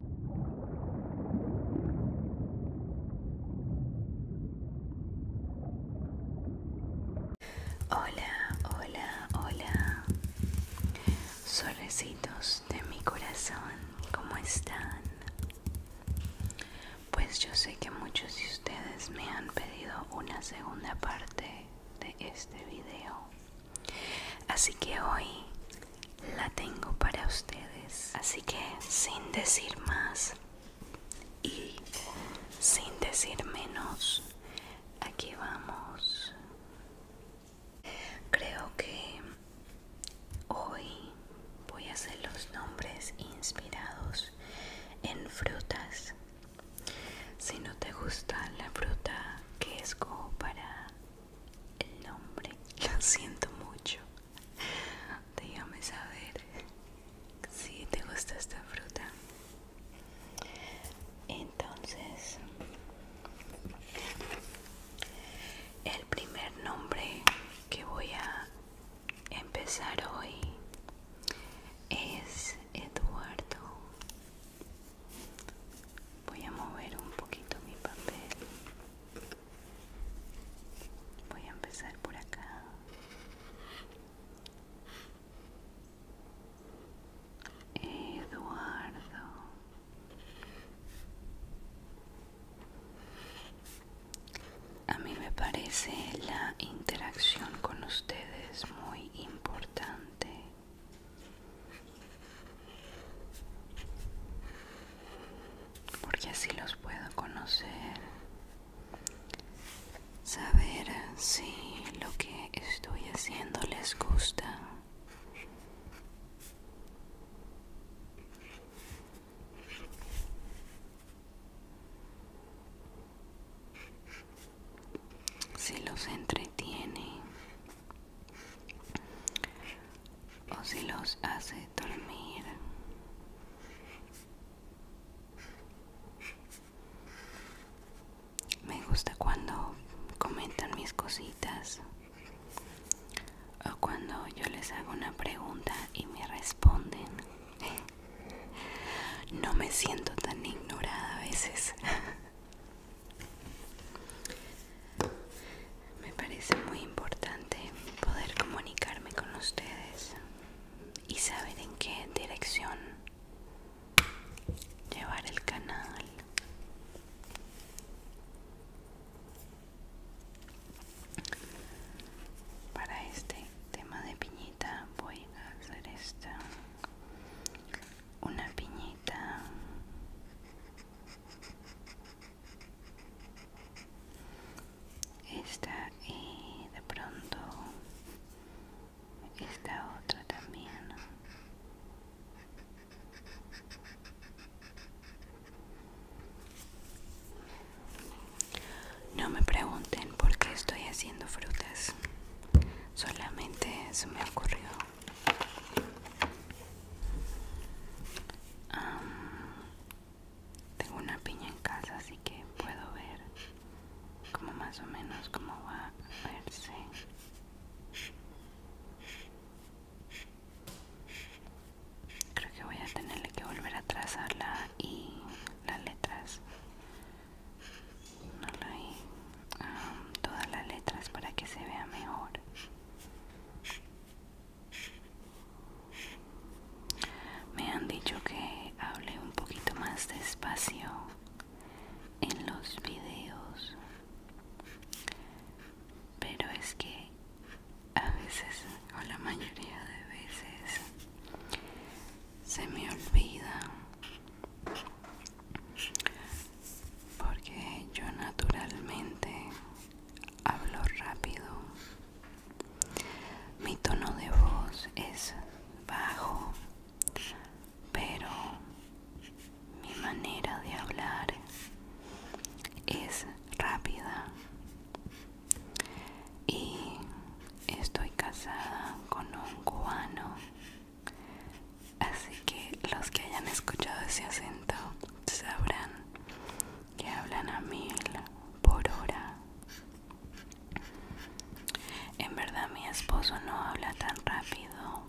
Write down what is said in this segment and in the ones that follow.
Hola, hola, hola. Solecitos de mi corazón, ¿cómo están? Pues yo sé que muchos de ustedes me han pedido una segunda parte de este video. Así que hoy la tengo para ustedes. Así que sin decir más y sin decir menos, aquí vamos. Creo que hoy voy a hacer los nombres inspirados en frutas. Si no te gusta la fruta que esco para el nombre. Lo siento mucho. Déjame saber si te gusta esta fruta. Entonces, el primer nombre que voy a empezar hoy es Eduardo. Voy a mover un poquito mi papel. Voy a empezar por acá. Eduardo. A mí me parece la interacción con ustedes muy importante porque así los puedo conocer, saber si lo que estoy haciendo les gusta. Si los entretiene o si los hace dormir. Me gusta cuando comentan mis cositas o cuando yo les hago una pregunta y me responden. No me siento tan ignorada a veces. Me parece muy importante poder comunicarme con ustedes y saber en qué dirección llevar el canal. Para este tema de piñita voy a hacer esta una piñita esta y de pronto esta otra también no me pregunten por qué estoy haciendo frutas solamente eso me ocurrió tengo una piña en casa, así que puedo ver como más o menos cómo va a verse. Creo que voy a tenerle que volver a trazarla y las letras. todas las letras para que se vea mejor. Me han dicho que hable un poquito más despacio en los videos, pero es que a veces o la mayoría de veces se me olvida porque yo naturalmente hablo rápido, mi tono de voz es bajo, pero mi manera de hablar es rápida y estoy casada con un cubano así que los que hayan escuchado ese acento sabrán que hablan a mil por hora. En verdad mi esposo no habla tan rápido,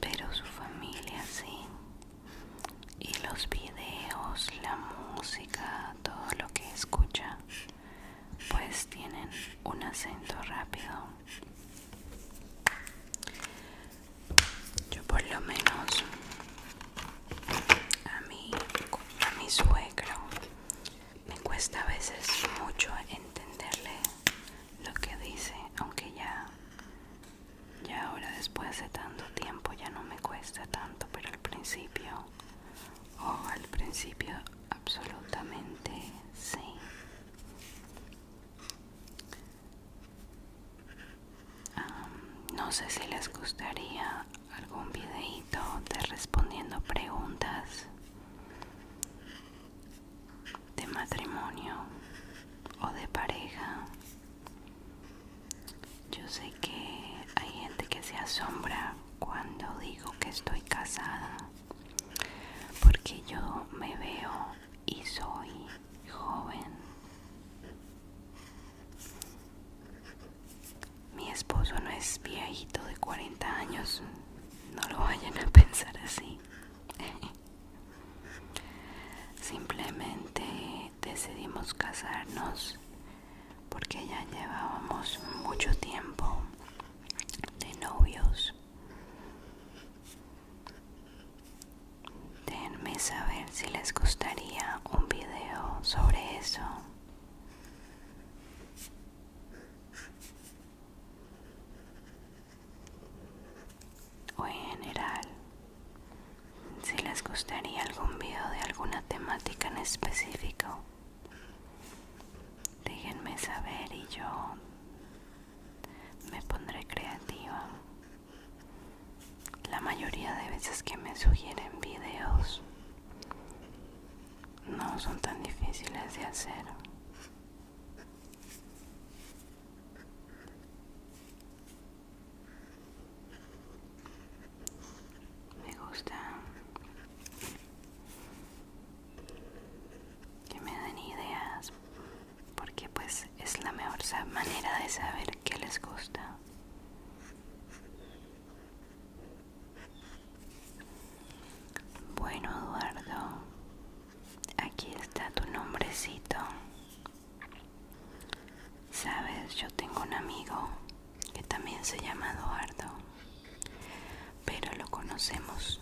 pero su familia sí. Y los videos, la música, todo lo que escucha, pues tienen un acento rápido. Yo por lo menos a mí, mi suegro, me cuesta a veces mucho entenderle lo que dice, aunque ya, ahora después de tanto tiempo ya no me cuesta tanto, pero al principio, o oh, al principio absolutamente sí no sé si les gustaría algún videito de respondiendo preguntas de matrimonio o de pareja. Yo sé que hay gente que se asombra cuando digo que estoy casada, porque yo me veo y soy joven. Mi esposo no es viejito de 40 años, no lo vayan a pensar así. Simplemente decidimos casarnos porque ya llevábamos mucho tiempo de novios déjenme saber si les gustaría un video sobre eso. O en general, si les gustaría algún video de alguna temática en específico, déjenme saber y yo me pondré creativa la mayoría de veces que me sugieren videos no son tan difíciles de hacer me gusta que me den ideas porque pues es la mejor manera de saber qué les gusta bueno Eduardo aquí está tu nombrecito sabes yo tengo un amigo que también se llama Eduardo pero lo conocemos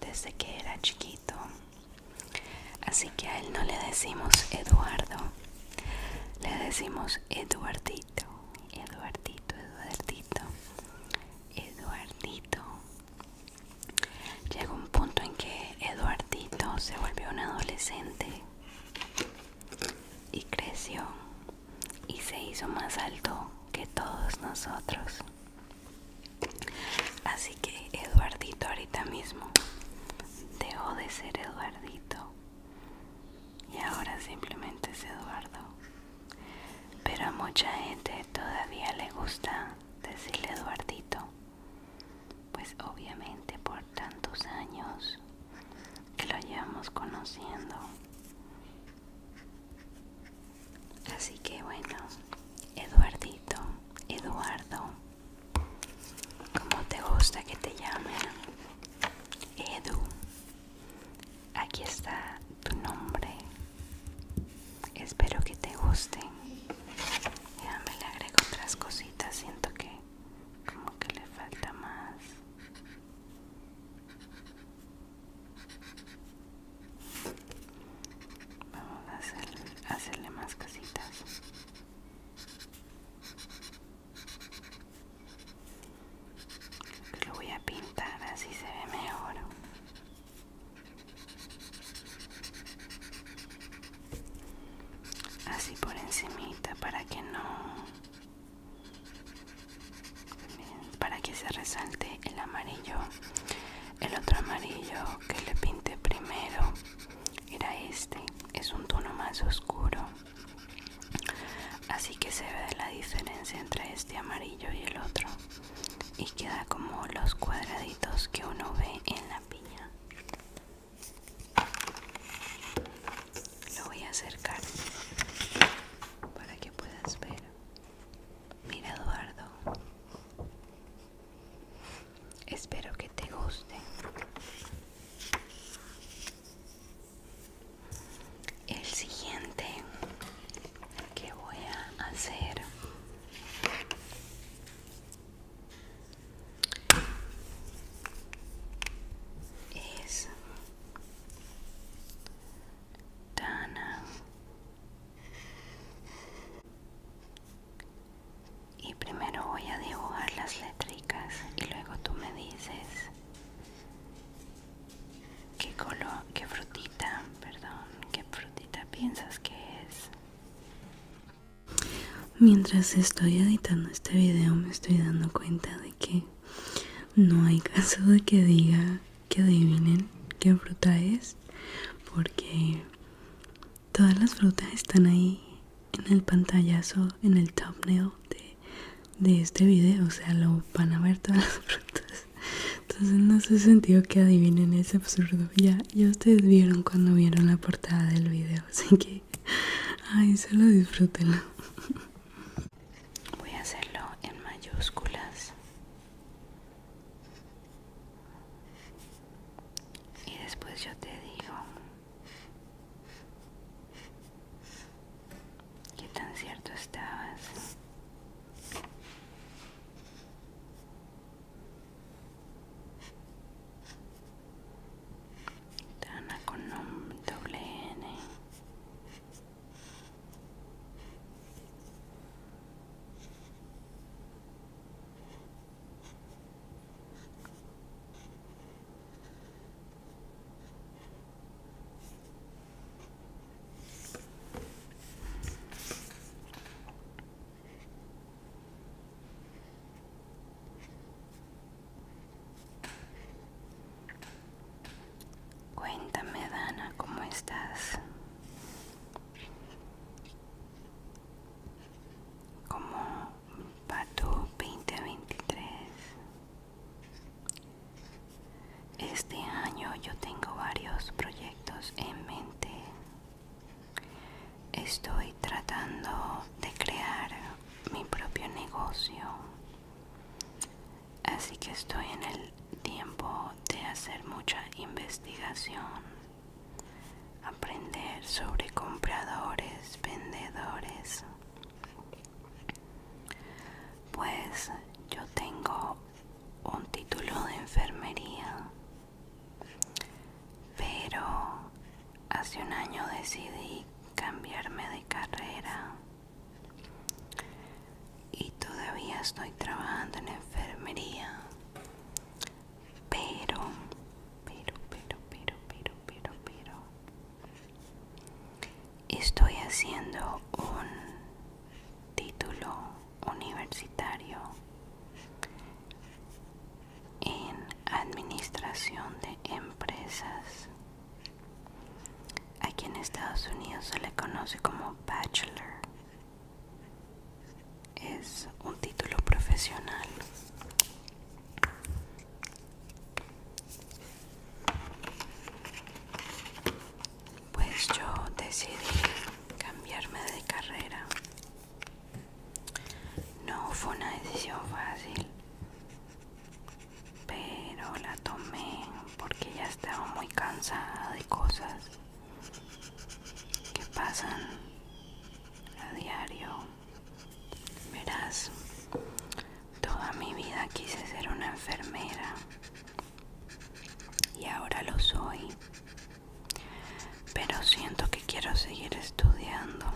desde que era chiquito. Así que a él no le decimos Eduardo, le decimos Eduardito, Eduardito, Eduardito, Eduardito. Llega un punto en que Eduardito se volvió un adolescente y creció y se hizo más alto que todos nosotros. Así que Eduardito ahorita mismo dejó de ser Eduardito y ahora simplemente es Eduardo. Pero a mucha gente todavía le gusta decirle Eduardito. Pues obviamente por tantos años que lo llevamos conociendo. Así que bueno, Eduardito, Eduardo ¿Cómo te gusta que te llamen? Edu. Aquí está tu nombre. Espero que te guste. Ya me le agrego otras cositas. Siento que como que le falta más. Vamos a hacerle, más casitas. lo voy a pintar, así se ve mejor. Así por encimita para que no para que se resalte el amarillo el otro amarillo que le pinté primero era este es un tono más oscuro así que se ve la diferencia entre este amarillo y el otro y queda como los cuadraditos que uno ve en la piña lo voy a acercar para que puedas ver mira Eduardo Espero que te guste. El siguiente que voy a hacer es Dana y primero voy a dibujar las letricas y luego tú me dices qué color, qué frutita, perdón, qué frutita piensas que es. Mientras estoy editando este video me estoy dando cuenta de que no hay caso de que diga que adivinen qué fruta es porque Todas las frutas están ahí en el pantallazo, en el thumbnail de, de este video, o sea, lo van a ver todas las frutas. Entonces no hace sentido que adivinen, ese absurdo. Ya, ya ustedes vieron cuando vieron la portada del video, así que, ay, solo disfruten. Voy a hacerlo en mayúsculas. Y después yo te digo que tan cierto estabas. Tana con un doble N. Cuéntame, Dana, ¿cómo estás? como Pato 2023 este año yo tengo varios proyectos en mente estoy tratando de crear mi propio negocio así que estoy en el tiempo de hacer mucha investigación aprender sobre compradores, vendedores. Pues yo tengo un título de enfermería, pero hace un año decidí cambiarme de carrera y todavía estoy trabajando en enfermería pero, pero, pero, pero, pero, pero, pero, estoy haciendo un título universitario en administración de empresas. Aquí en Estados Unidos se le conoce como bachelor es un título profesional pues yo decidí cambiarme de carrera no fue una decisión fácil pero la tomé porque ya estaba muy cansada de cosas que pasan a diario. Verás, toda mi vida quise ser una enfermera y ahora lo soy. Pero siento que quiero seguir estudiando.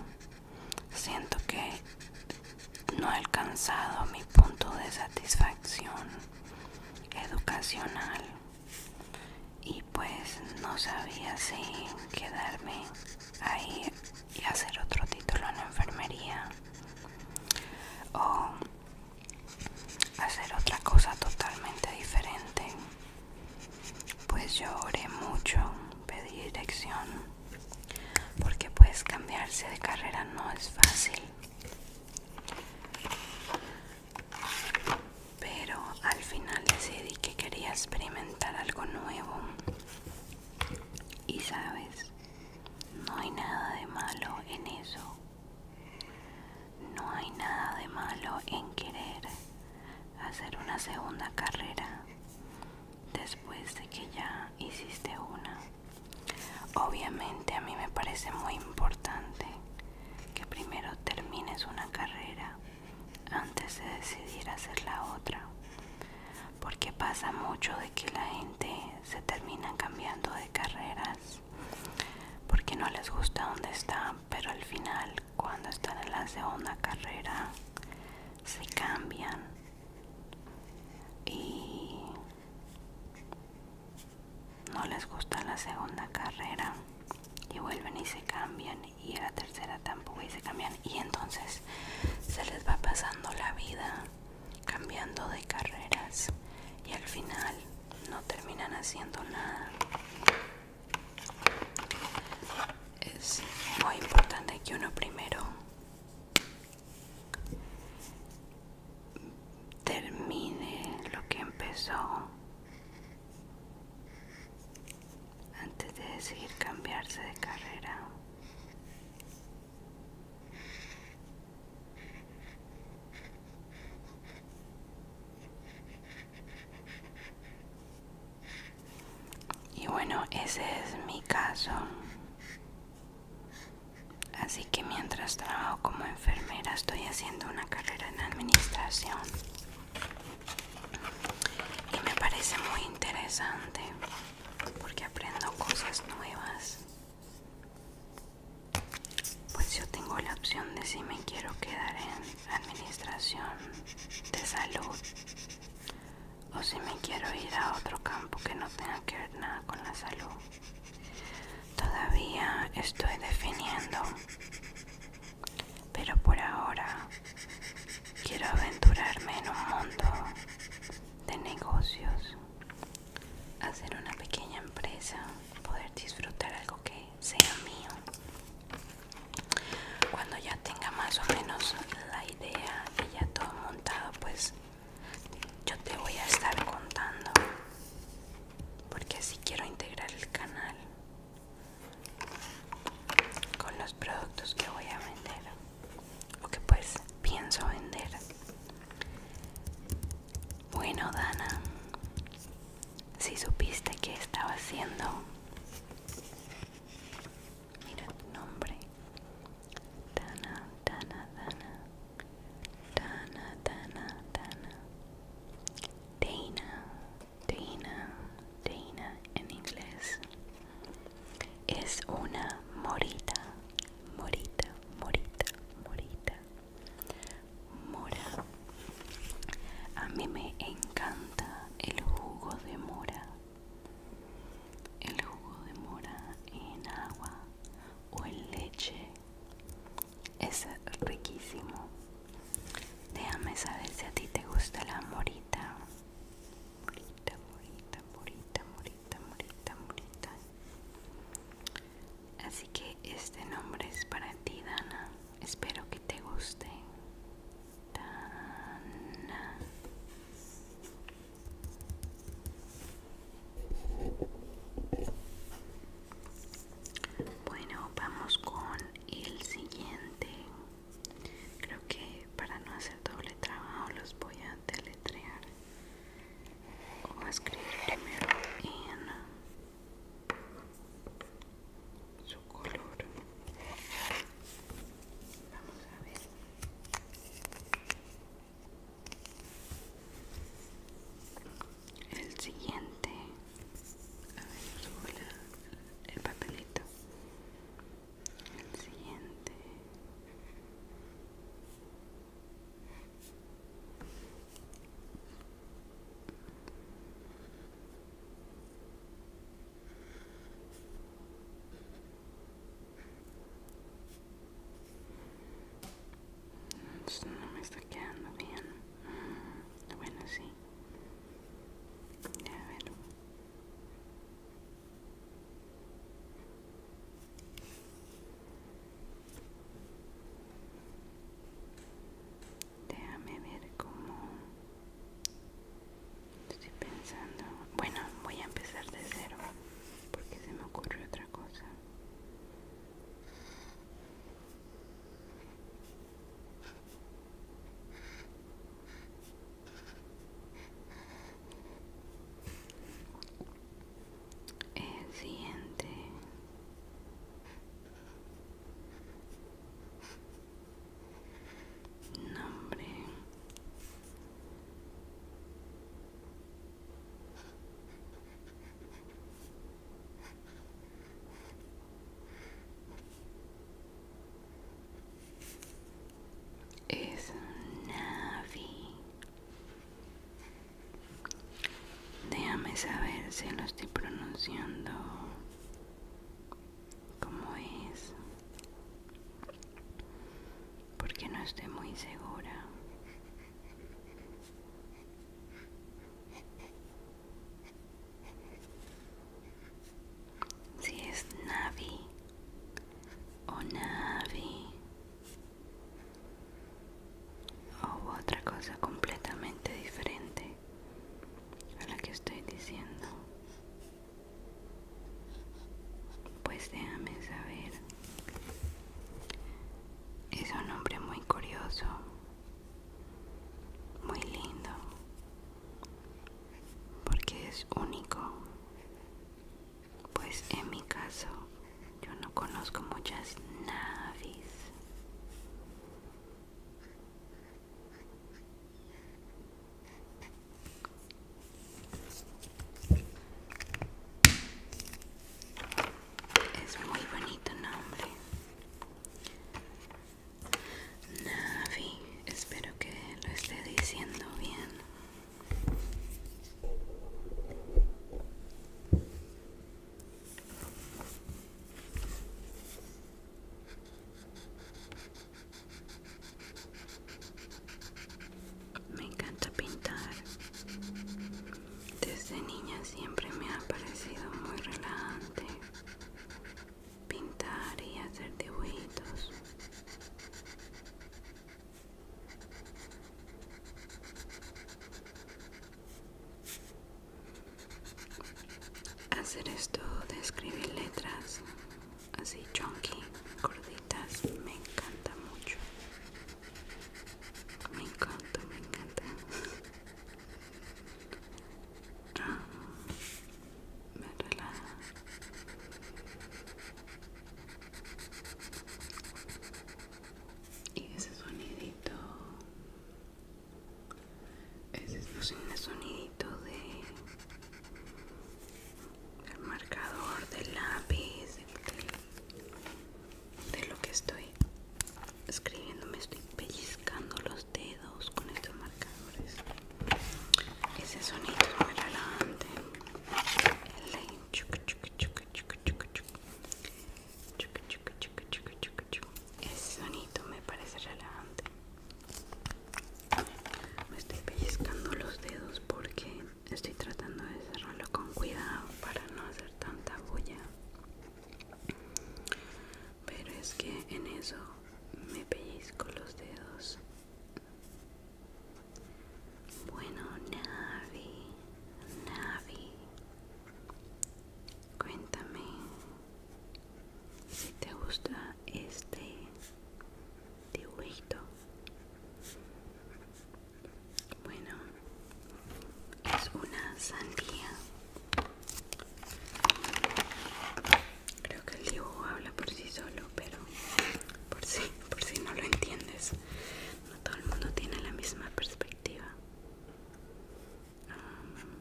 Siento que no he alcanzado mi punto de satisfacción educacional y pues no sabía si quedarme ahí y hacer otro título en la enfermería o hacer otra cosa totalmente diferente pues yo oré mucho pedí dirección porque pues cambiarse de carrera no es fácil pero al final decidí que quería experimentar algo nuevo y sabes no hay nada de malo en eso no hay nada de malo en querer hacer una segunda carrera después de que ya hiciste una obviamente a mí me parece muy importante que primero termines una carrera antes de decidir hacer la otra porque pasa mucho de que la gente se termina cambiando de carreras porque no les gusta donde están pero al final cuando están en la segunda carrera se cambian y no les gusta la segunda carrera y vuelven y se cambian y a la tercera tampoco y se cambian y entonces se les va pasando la vida cambiando de carreras y al final no terminan haciendo nada es muy importante que uno primero termine lo que empezó antes de decidir cambiarse de carrera. Y bueno, ese es mi caso. Así que mientras trabajo como enfermera estoy haciendo una carrera en administración y me parece muy interesante porque aprendo cosas nuevas pues yo tengo la opción de si me quiero quedar en administración de salud o si me quiero ir a otro campo que no tenga que ver nada con la salud todavía estoy definiendo pero por ahora quiero aventurarme en un mundo de negocios, hacer una pequeña empresa, poder disfrutar algo que sea mío. Cuando ya tenga más o menos la idea y ya todo montado, pues yo te voy a estar contando porque así quiero integrar el canal con los productos que voy a vender o que pues pienso vender bueno Dana si supiste que estaba haciendo mira tu nombre Dana Dana Dana Dana Dana Dana Dana Teína, teína en inglés. Es una morita, morita, morita, morita. Mora. A mí me encanta el jugo de mora. El jugo de mora en agua o en leche es riquísimo Déjame saber si a ti te gusta la morita. Morita, morita, morita, morita, morita, morita. Así que este nombre es para ti, Dana. Espero que te guste. Dana. Bueno, vamos con el siguiente creo que para no hacer doble trabajo los voy a deletrear voy a escribir primero en su color vamos a ver el siguiente a ver, el papelito el siguiente no me está quedando bien bueno sí Déjame ver cómo estoy pensando. Bueno, voy a empezar de cero porque se me ocurre otra cosa siguiente nombre es Navi. Déjame saber si lo estoy pronunciando como es, porque no estoy muy segura si es Navi o Navi o otra cosa completamente diferente a la que estoy diciendo pues déjame saber es un hombre muy curioso muy lindo porque es único pues en mi caso yo no conozco muchas naves. es muy bonito nombre Navi, espero que lo esté diciendo bien. Me encanta pintar. Desde niña siempre me ha parecido muy relajante pintar y hacer dibujitos hacer esto de escribir letras así chunky gorditas me encanta mucho me encanta me encanta me y ese sonidito ese es el sonidito de del marcador del lápiz de, de lo que estoy escribiendo me estoy pellizcando pellizcando los dedos con estos marcadores. Ese sonido es muy relajante. El chuc, chuc, chuc, chuc, chuc, chuc. Chuc, chuc, chuc, chuc, Ese sonido me parece relajante. Me estoy pellizcando los dedos porque estoy tratando de cerrarlo con cuidado para no hacer tanta bulla pero es que en eso me pellizco los dedos bueno Navi Navi cuéntame si te gusta este dibujito bueno es una sandía Creo que el dibujo habla por sí solo, pero por si, por si no lo entiendes, no todo el mundo tiene la misma perspectiva. Um,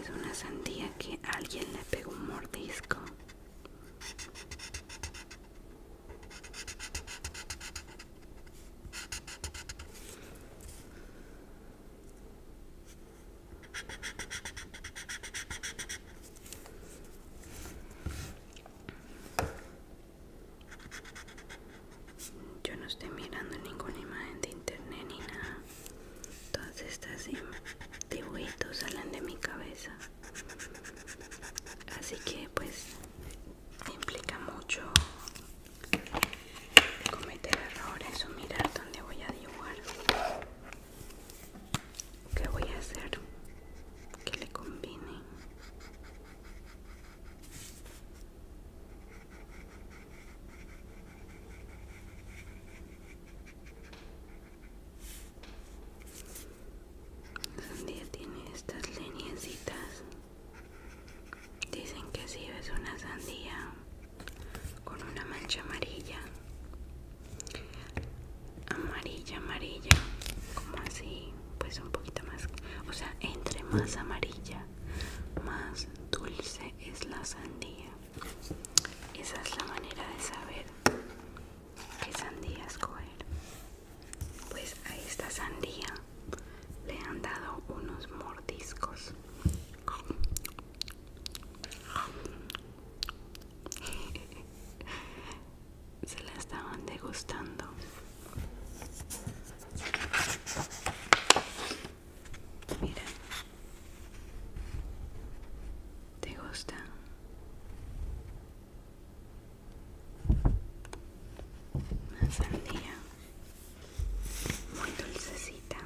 es una sandía que alguien le pegó un mordisco. Yo no estoy mirando ninguna imagen de internet ni nada. Todas estas dibujitos salen de mi cabeza. Así que pues implica mucho cometer errores o mirar dónde voy a dibujar qué voy a hacer que le combine día tiene estas leñecitas Dicen que si ves una sandía con una mancha amarilla, amarilla, amarilla, como así, pues un poquito más, o sea, entre más amarilla, más dulce es la sandía. Esa es la manera de saber qué sandía escoger pues a esta sandía le han dado unos mordiscos se la estaban degustando mira te gusta sandía muy dulcecita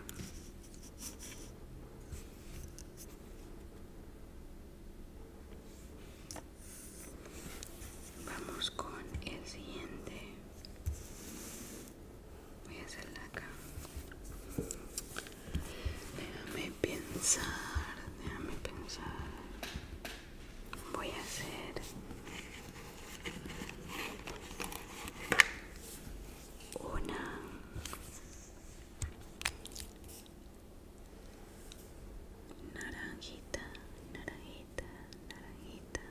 vamos con el siguiente voy a hacerla acá déjame pensar déjame pensar voy a hacer una naranjita, naranjita, naranjita.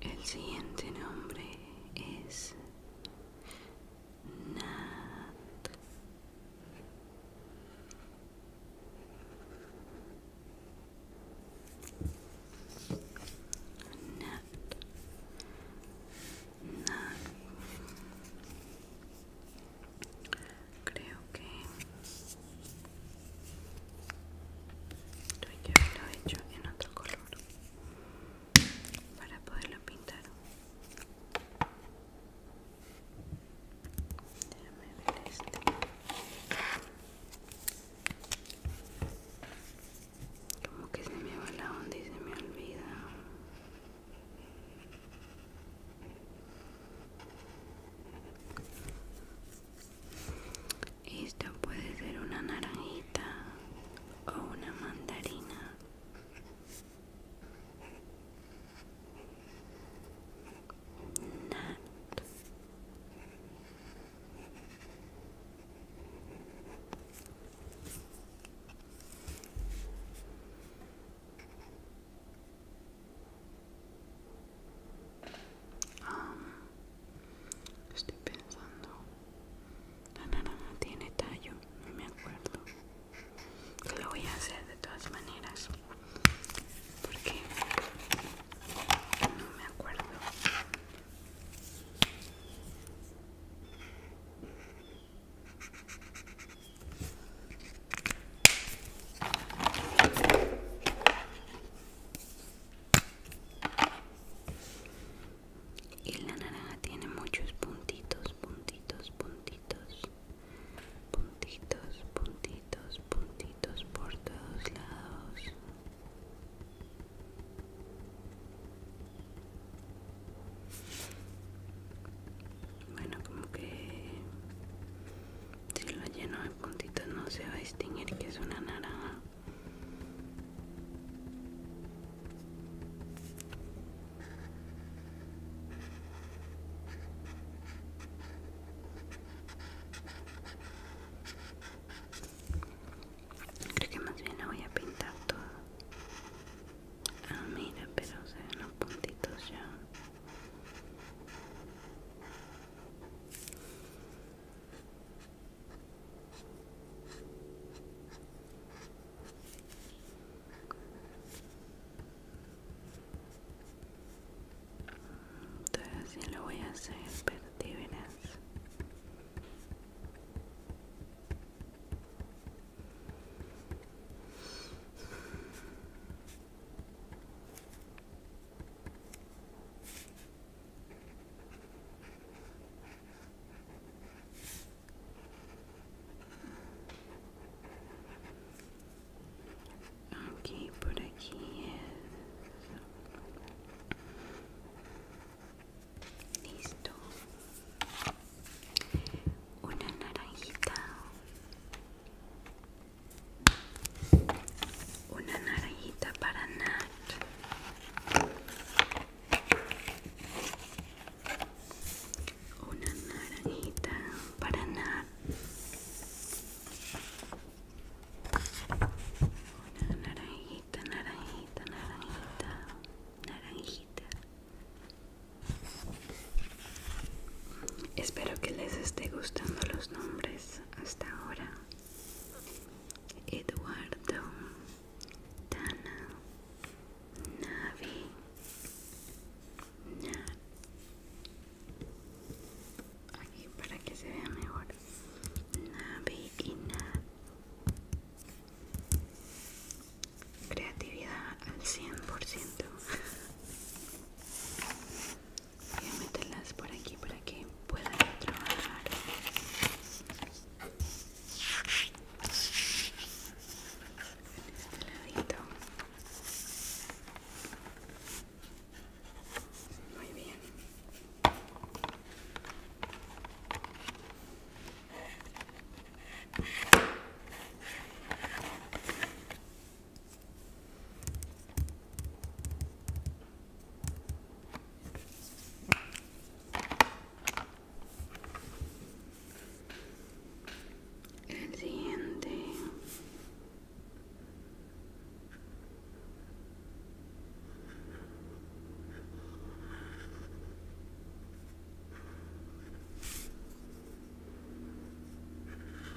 El siguiente nombre es Nat. Nat. Creo que yo lo he hecho en otro color para poderlo pintar déjame ver este como que se me va la onda y se me olvida esto puede ser una naranjita o una mandarina. Um, estoy pensando. La naranja tiene tallo, no me acuerdo. Lo voy a hacer de todas maneras. Porque no me acuerdo y la naranja tiene muchos puntitos puntitos puntitos puntitos puntitos puntitos por todos lados bueno como que si lo lleno de puntitos no se va a distinguir que es una naranja. Creo que más bien lo voy a pintar todo. Ah, mira, pero se ven los puntitos ya. Todavía lo voy a hacer, pero Aquí por aquí es listo una naranjita una naranjita para Nat. Una naranjita para Nat. Una naranjita, naranjita, naranjita, naranjita. Espero que les esté gustando los nombres hasta ahora. Eduardo, Tana, Navi, Nat. Aquí para que se vea mejor. Navi y Nat. Creatividad al 100% voy a meterlas por aquí para que puedan trabajar en este ladito muy bien el siguiente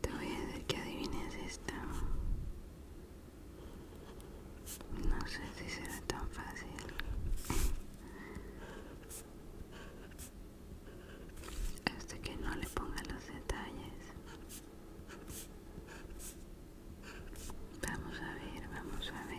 Te voy a decir que adivines esta. No sé si será tan fácil. Hasta este que no le ponga los detalles. Vamos a ver, vamos a ver.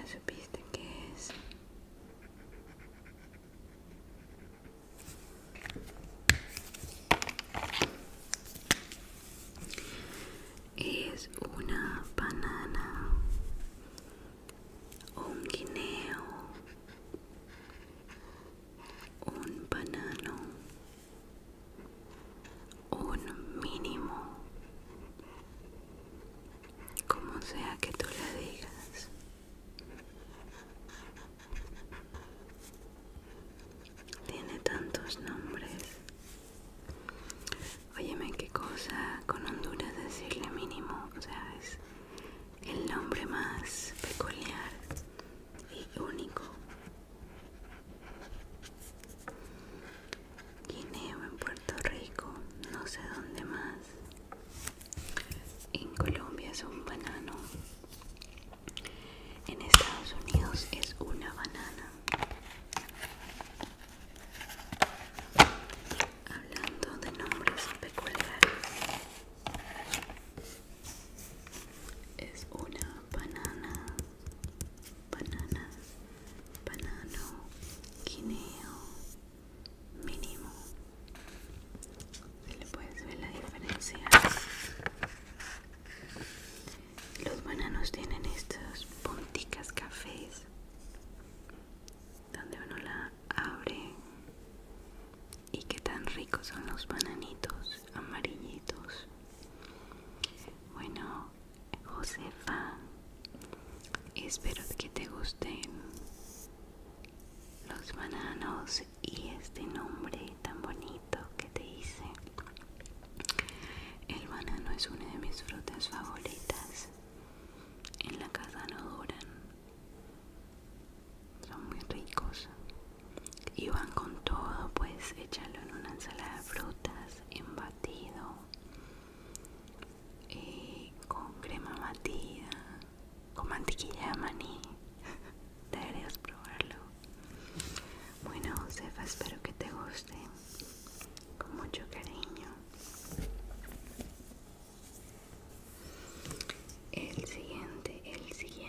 Ya supiste que es. Es una banana un guineo, un banano, un mínimo, como sea que tú le digas. Tiene tantos nombres. Óyeme, qué cosa con Honduras decirle mínimo, o sea, es el nombre más peculiar y único. o en Puerto Rico, no sé dónde más. En Colombia es un banano. En Estados Unidos es una banana. Hablando de nombres peculiares, es una banana, banana, banano, guineo, mínimo. Si le puedes ver la diferencia. Los bananos tienen estos punticas cafés donde uno la abre y qué tan ricos son los bananitos amarillitos. Bueno, Josefa, espero que te gusten los bananos y este nombre tan bonito que te hice. El banano es una de mis frutas favoritas en la casa no duran, son muy ricos y van con todo, pues echarlo en una ensalada de frutas, en batido, eh, con crema batida, con mantequilla de maní. Deberías probarlo. Bueno, Josefa, espero que te guste con mucho cariño el siguiente el siguiente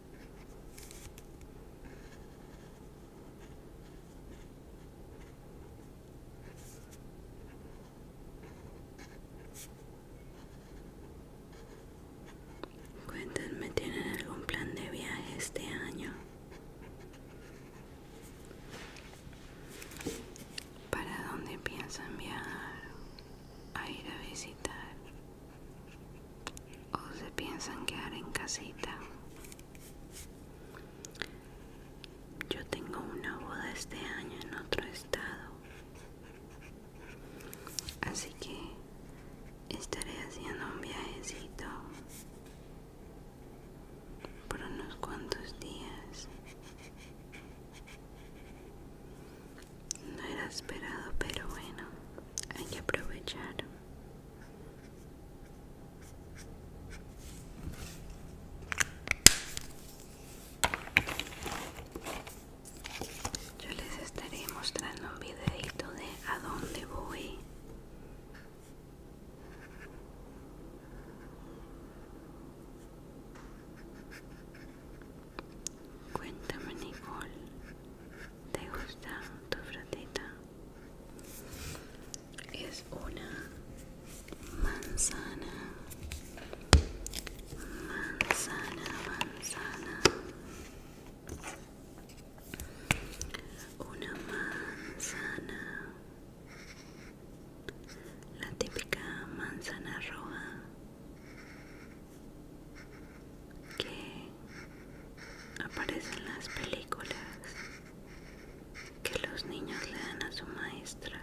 Cuéntenme, ¿tienen algún plan de viaje este año? ¿Para dónde piensan viajar? ¿A ir a visitar? o se piensan quedar en casita. Yo tengo una boda este año en otro estado, así que estaré haciendo un viajecito por unos cuantos días. No era esperado, pero bueno, hay que aprovechar. Yo les estaré mostrando un videito de a dónde voy. Cuéntame Nicole, ¿te gusta tu frutita? es una manzana manzana manzana una manzana la típica manzana roja que aparecen las películas que los niños le dan a su maestra.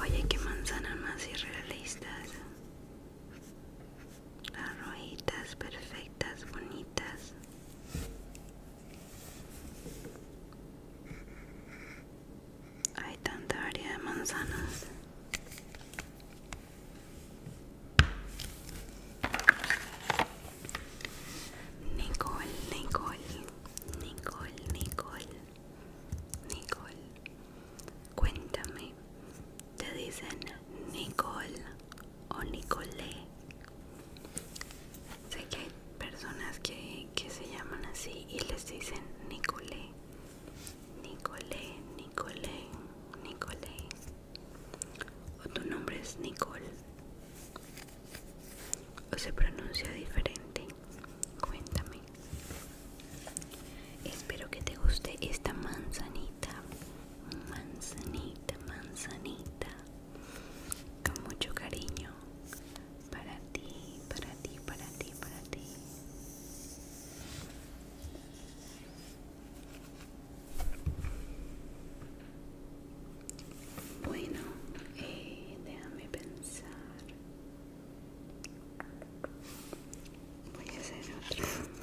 Oye, qué manzanas más irrealistas. ¿eh? Arrojitas, perfectas, bonitas. Hay tanta variedad de manzanas. Nicole, Nicole, Nicole, Nicole, Nicole. Cuéntame, ¿te dicen Nicole o Nicole? Sé que hay personas que, que se llaman así y les dicen Nicole. Nicole, Nicole, Nicole. O tu nombre es Nicole. O se pronuncia diferente. Cuéntame. Espero que te guste esta manzanita. Manzanita, manzanita. Con mucho cariño. Para ti, para ti, para ti, para ti. Bueno, eh, déjame pensar. Voy a hacer otro. Bueno.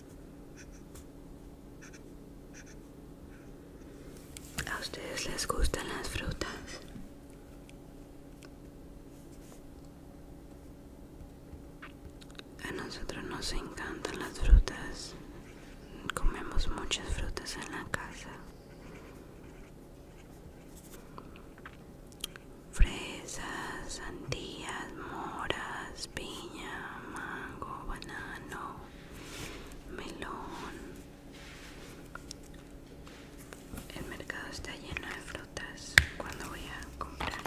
¿A ustedes les gustan las frutas? A nosotros nos encantan las frutas. Comemos muchas frutas en la casa. Fresas, sandías, moras, piña, mango, banano, melón. El mercado está lleno de frutas. Cuando voy a comprar,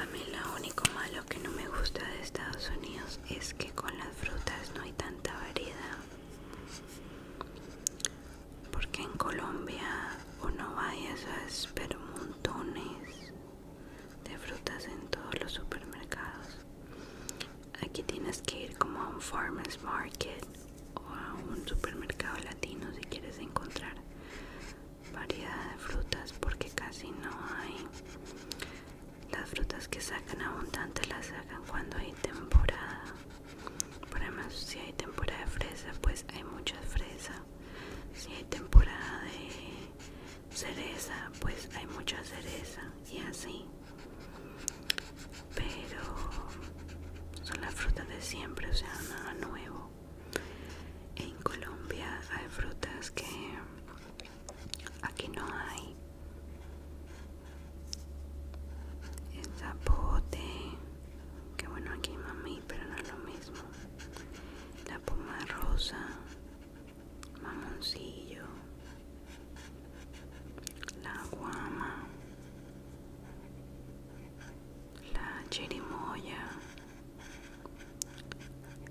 a mí lo único malo que no me gusta de Estados Unidos es que con las frutas no hay tanta variedad. Porque en Colombia uno va y eso es, pero montones de frutas en todos los supermercados. Aquí tienes que ir como a un farmers market o a un supermercado latino si quieres encontrar variedad de frutas porque casi no hay. Las frutas que sacan Abundante las sacan cuando hay temporada. Por además si hay temporada de fresa pues hay muchas fresas Si hay temporada de cereza pues hay mucha cereza y así pero son las frutas de siempre o sea nada nuevo en Colombia hay frutas que aquí no hay el zapote que bueno aquí mami pero no es lo mismo la puma rosa Mamoncillo, la guama, la cherimoya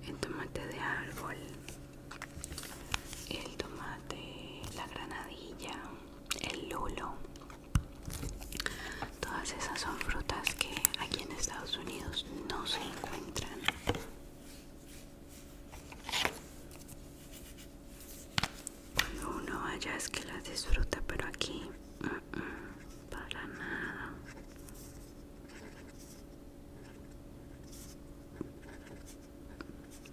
el tomate de árbol, el tomate, la granadilla, el lulo. Todas esas son frutas que aquí en Estados Unidos no se encuentran cuando uno vaya es que las disfruta, pero aquí para nada.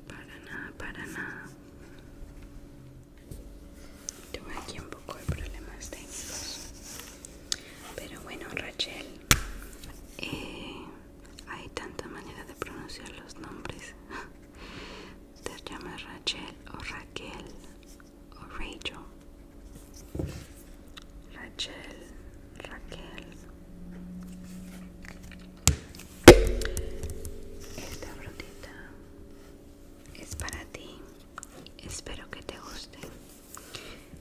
Para nada, para nada. Tuve aquí un poco de problemas técnicos. Pero bueno, Rachel, eh, hay tanta manera de pronunciar los nombres te llamas Rachel o Raquel o Rachel Rachel Raquel esta brotita es para ti espero que te guste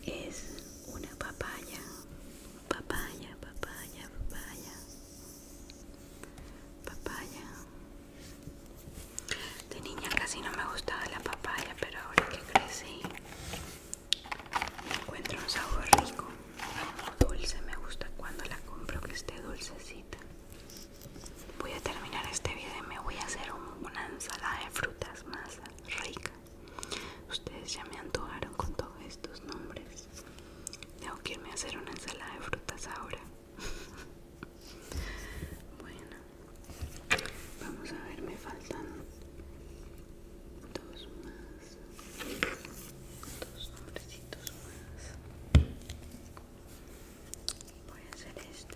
es una papaya, papaya, papaya, papaya, papaya. De niña casi no me gustaba la papaya, pero ahora que crecí encuentro un sabor rico, dulce. Me gusta cuando la compro que esté dulcecita. Voy a terminar este video y me voy a hacer una ensalada de frutas más rica. Ustedes ya me antojaron con todos estos nombres. Tengo que irme a hacer una ensalada de frutas ahora. bueno, vamos a ver, me faltan dos más. Dos nombrecitos más. Voy a hacer esta.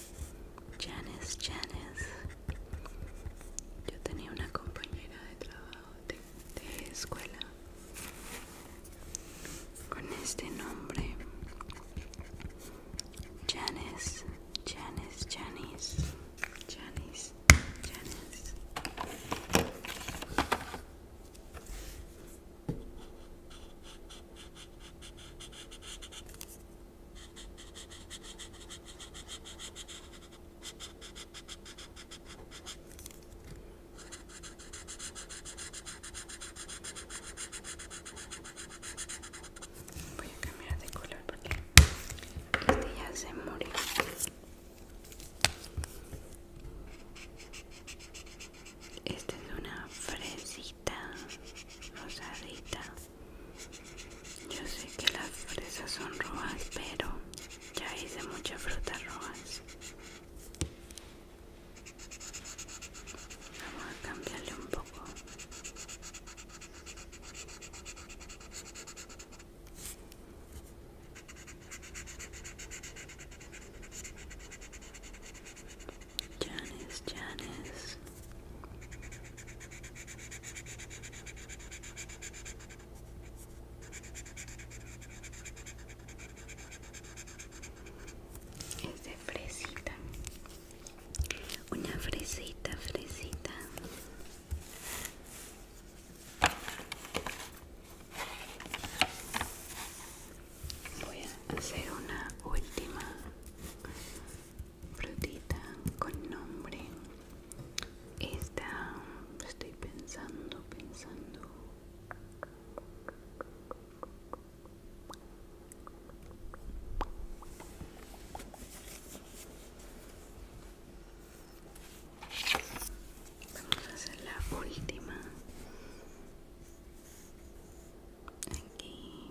Janice, Janice. Yo tenía una compañera de trabajo de, escuela con este nombre. Janice, Janice, Janice, Janice, Janice. Voy a cambiar de color porque este ya se murió. Esta es una fresita rosadita. Yo sé que las fresas son rojas, pero ya hice mucha fruta rojas. Vamos a cambiarle un poco. Janice, Janice. Es de fresita, una fresita, fresita. Voy a hacer una última frutita con nombre esta estoy pensando pensando Vamos a hacer la última. Aquí.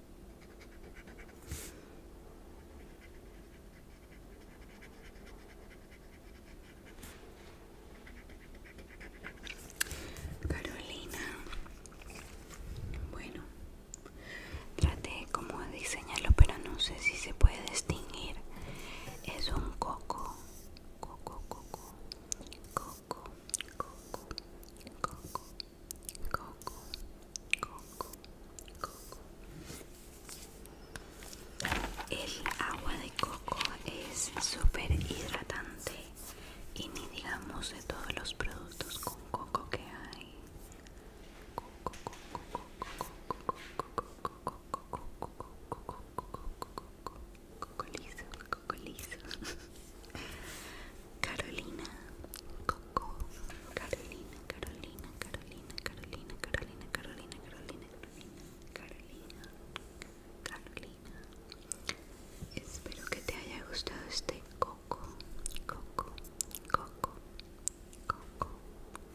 Carolina, bueno, traté como de diseñarlo, pero no sé si se puede distinguir. Es un coco, coco, coco, coco, coco, coco, coco, coco, coco. El agua de coco es súper hidratante y ni digamos de todos los productos con coco que hay. Coco, coco, coco, coco, coco, coco Carolina, coco, Carolina, Carolina, Carolina, Carolina, Carolina, Carolina, Carolina, Carolina, Carolina. carolina Espero que te haya gustado este coco, coco, coco, coco,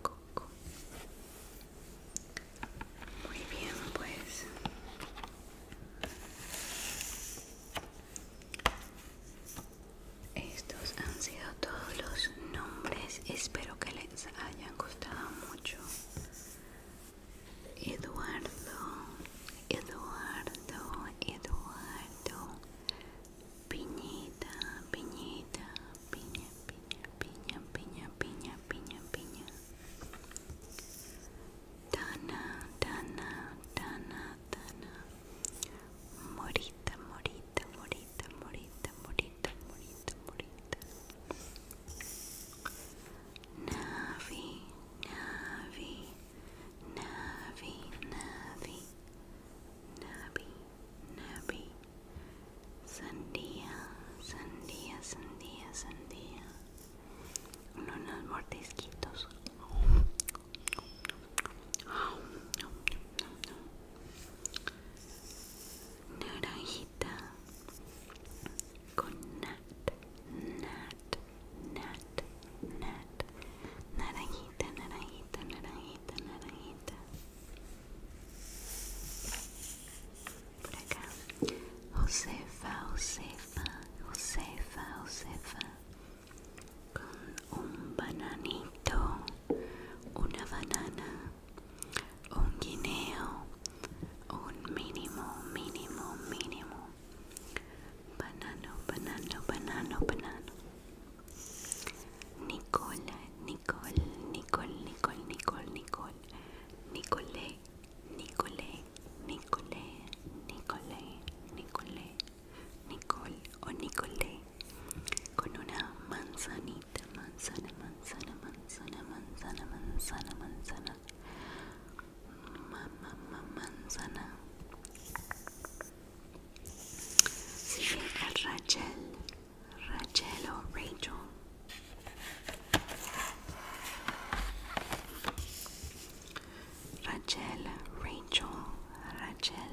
coco. Muy bien, pues. Estos han sido todos los nombres. Espero que les hayan gustado mucho. Eduardo, Eduardo, Eduardo. Piñita, piñita, piña, piña, piña, piña, piña, piña, piña. Tana, Tana, Tana, morita, morita, morita, morita, morita, morita, morita. Navi, Navi, Navi, Navi, Navi, Navi. Sandía, sandía, sandía, sandía. Uno unos mordisquitos naranjita con nat nat nat nat naranjita naranjita naranjita naranjita por acá Josefa Josefa Josefa Josefa con un bananito, una banana, un guineo, un mínimo, mínimo, mínimo. Banano, banano, banano, banano. Nicole, Nicol- Nicole, Nicole, Nicole, Nicole, Nicole, Nicole, Nicole, Nicole, Nicole, Nicole, Nicole o Nicole con una manzanita, manzana, manzana, manzana, manzana, manzana, manzana, manzana manzana. Rachel, Rachel o Rachel. Rachel, Rachel, Rachel,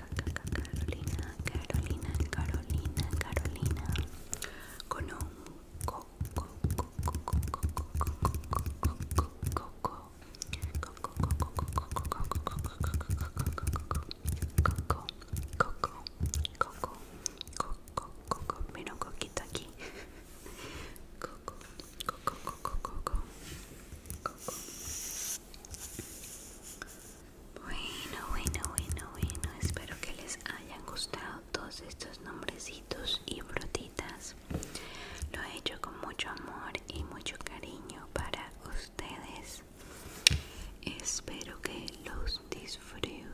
Carolina, Carolina, Carolina, Carolina, con un coco, coco, coco, coco, coco, coco, coco, coco, coco, coco, coco, mira un coquito aquí, coco, coco, coco, coco, coco, coco, bueno, bueno, bueno, bueno, espero que les hayan gustado todos estos nombrecitos y brotitas. Lo he hecho con mucho amor y mucho cariño para ustedes. Espero que los disfruten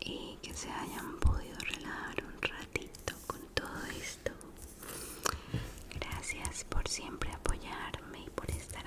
y que se hayan podido relajar un ratito con todo esto. Gracias por siempre apoyarme y por estar